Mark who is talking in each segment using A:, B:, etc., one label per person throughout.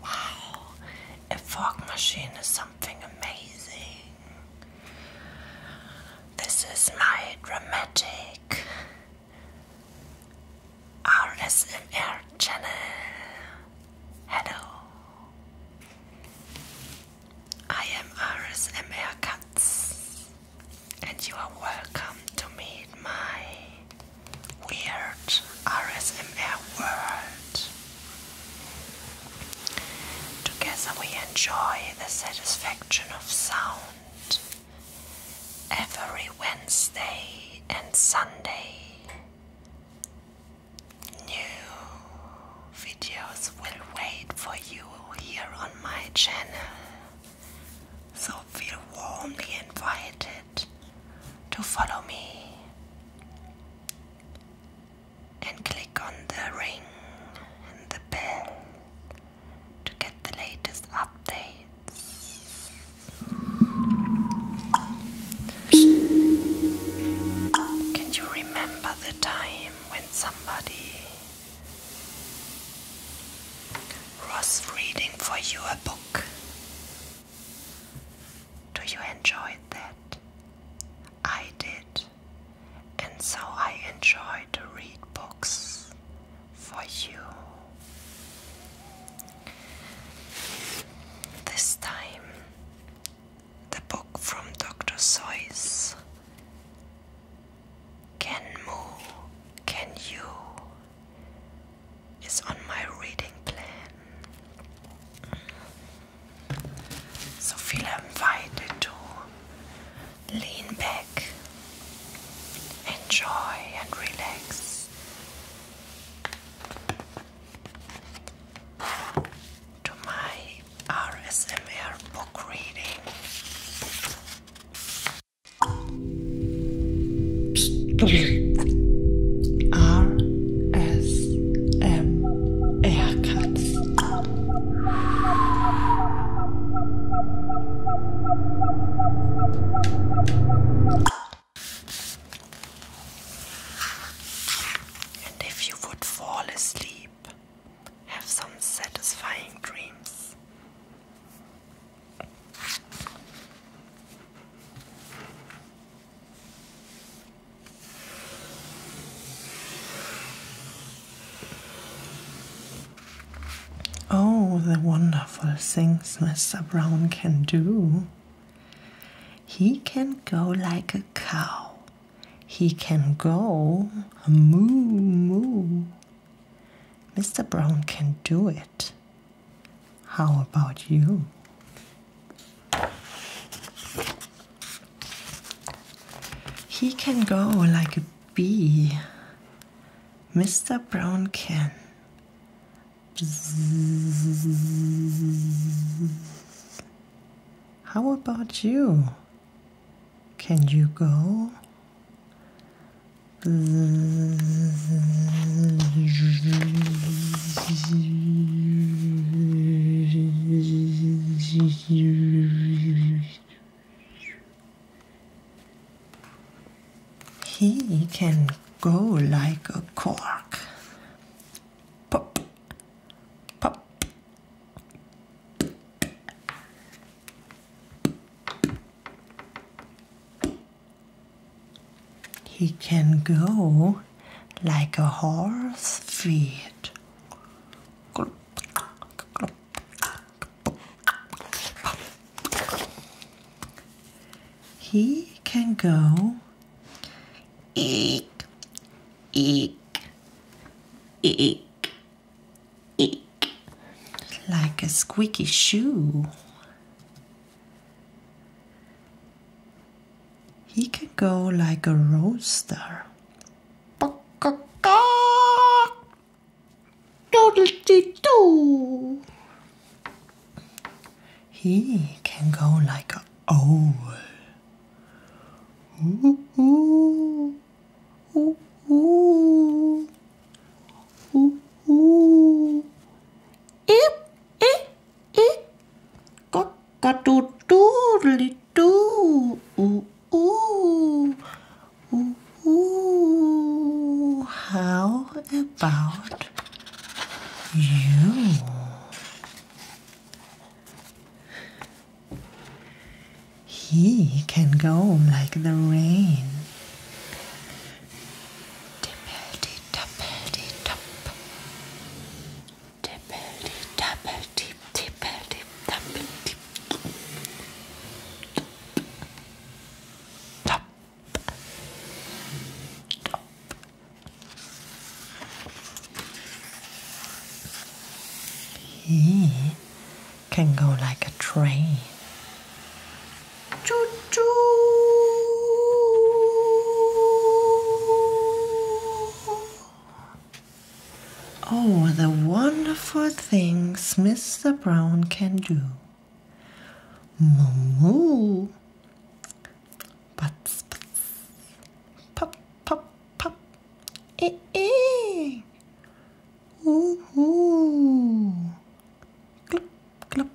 A: Wow, a fog machine is something amazing. This is my dramatic RSMR channel. Hello. I am RSMR Katz and you are welcome to meet my weird RSMR world. Together we enjoy the satisfaction of sound every Wednesday and Sunday. New videos will wait for you here on my channel. So feel warmly invited to follow me and click on the ring and the bell to get the latest updates. Can you remember the time when somebody was reading for you a book. Do you enjoy that? I did, and so I enjoy to read books for you. This time, the book from Dr. Seuss can move? Can you is on my reading plan. So feel invited to lean back, enjoy and relax. To my RSMR book reading. R S M And if you would fall asleep, have some satisfying dreams. Oh, the wonderful things Mr. Brown can do. He can go like a cow. He can go moo moo. Mr. Brown can do it. How about you? He can go like a bee. Mr. Brown can. How about you? Can you go? He can go like a cork. Pop, pop. He can go like a horse feet. He can go eek, eek, eek, like a squeaky shoe. He can go like a rooster. Doodle-dee-doo. He can go like a owl. Ooh, ooh ooh, ooh, ooh, ooh. Eep, eep, eep. Cock-a-doodle doodly doo. Ooh, ooh, ooh, ooh. How about you? He can go like the rain. Tippity tappity tap. Tippity tappity tippity tappity tap. Tap. He can go like a train. Choo choo! Oh, the wonderful things Mr. Brown can do. Moo moo. Butts, butts. Pop, pop, pop. Eh, eh. Ooh, mm-hmm. ooh. Glip, glip,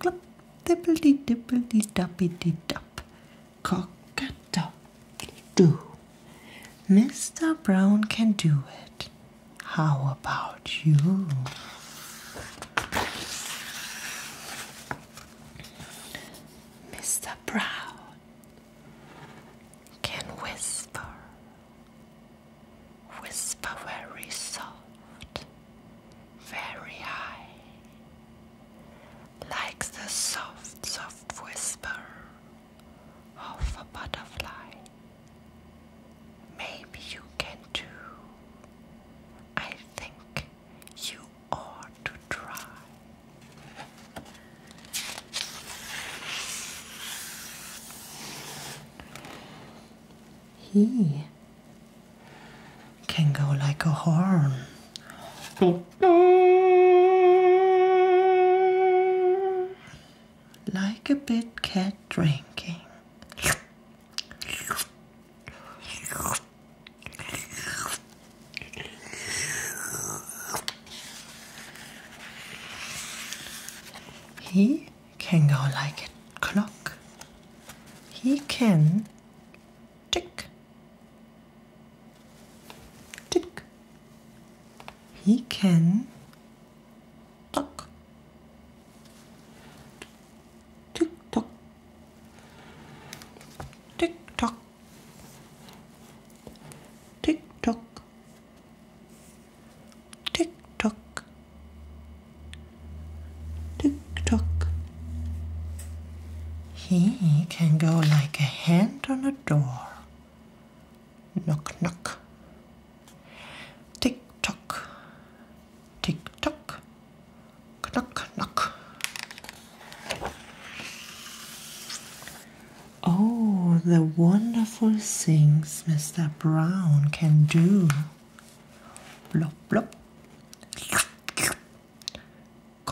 A: glip. Dippledy, dippledy, doppity, dop. Cock a dock do. Mr. Brown can do it. How about you? Mr. Brown can whisper Whisper very soft, very high, like the soft, soft whisper of a butterfly. Maybe you can too. I think you ought to try. He can go like a horn. Like a bit cat drinking. He can go like a clock. He can tick, tick. He can talk, tick tock, tick tock, tick tock. Tick tock. Tick tock. He can go like a hand on a door. Knock knock. Tick tock. Tick tock. Knock knock. Oh, the wonderful things Mr. Brown can do. Blop, blop.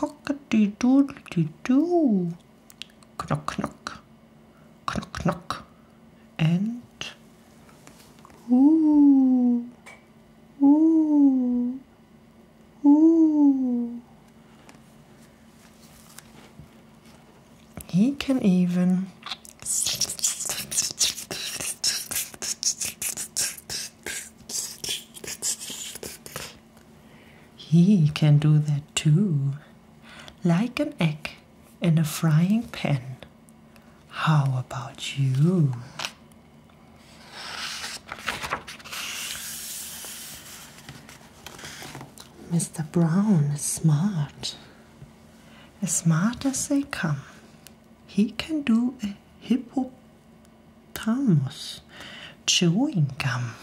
A: a doodly doo. Knock, knock. Knock, knock. And. Ooh. Ooh. Ooh. He can even He can do that too, like an egg in a frying pan. How about you? Mr. Brown is smart as smart as they come. He can do a hippopotamus chewing gum.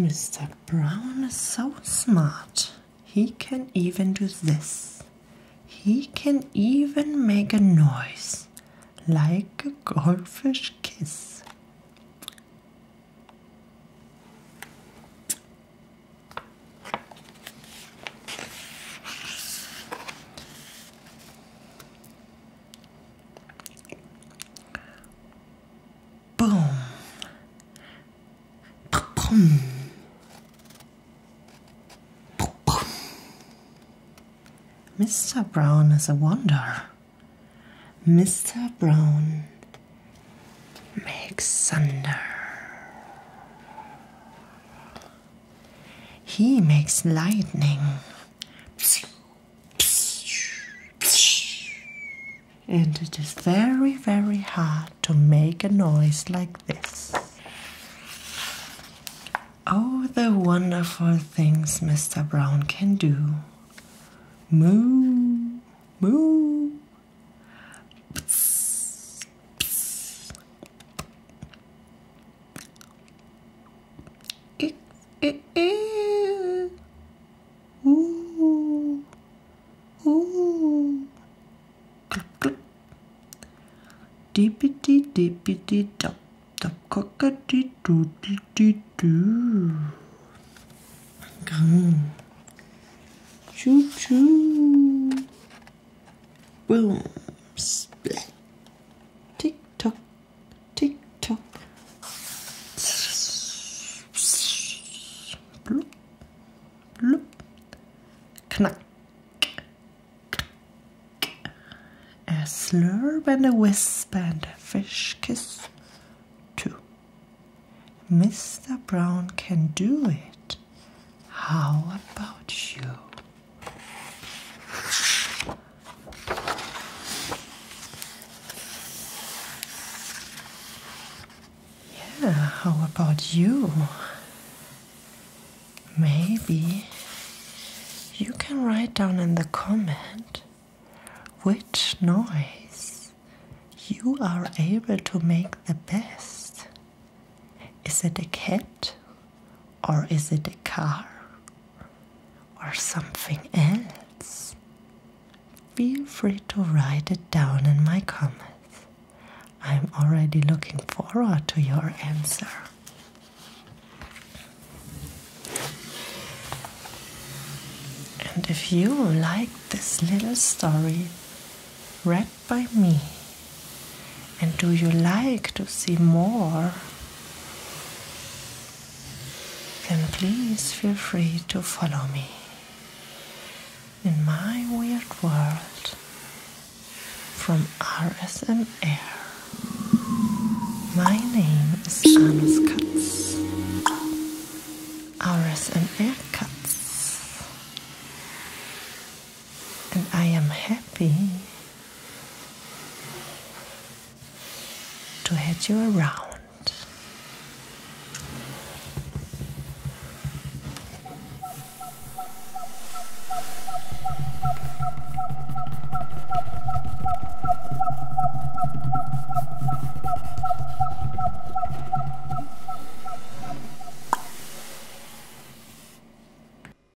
A: Mr. Brown is so smart. He can even do this. He can even make a noise like a goldfish kiss. Boom. Boom. Boom. Mr. Brown is a wonder. Mr. Brown makes thunder. He makes lightning. And it is very, very hard to make a noise like this. Oh, the wonderful things Mr. Brown can do. Moo, moo. Ooh. Ooh. Clup, clup. Dippity dippity dop dop cockatoo doodle doo doo. Come. Choo choo. Boom. Splat. Tick tock. Tick tock. Bloop. Bloop. Knack. A slurp and a wisp and a fish kiss. Two. Mr. Brown can do it. How about you? Yeah, how about you? Maybe you can write down in the comment which noise you are able to make the best. Is it a cat or is it a car or something else? Feel free to write it down in my comments. I'm already looking forward to your answer. And if you like this little story read by me, and do you like to see more? Then please feel free to follow me in my weird world from RSM Air. My name is Anus Katz. RSM Air Katz and I am happy to have you around.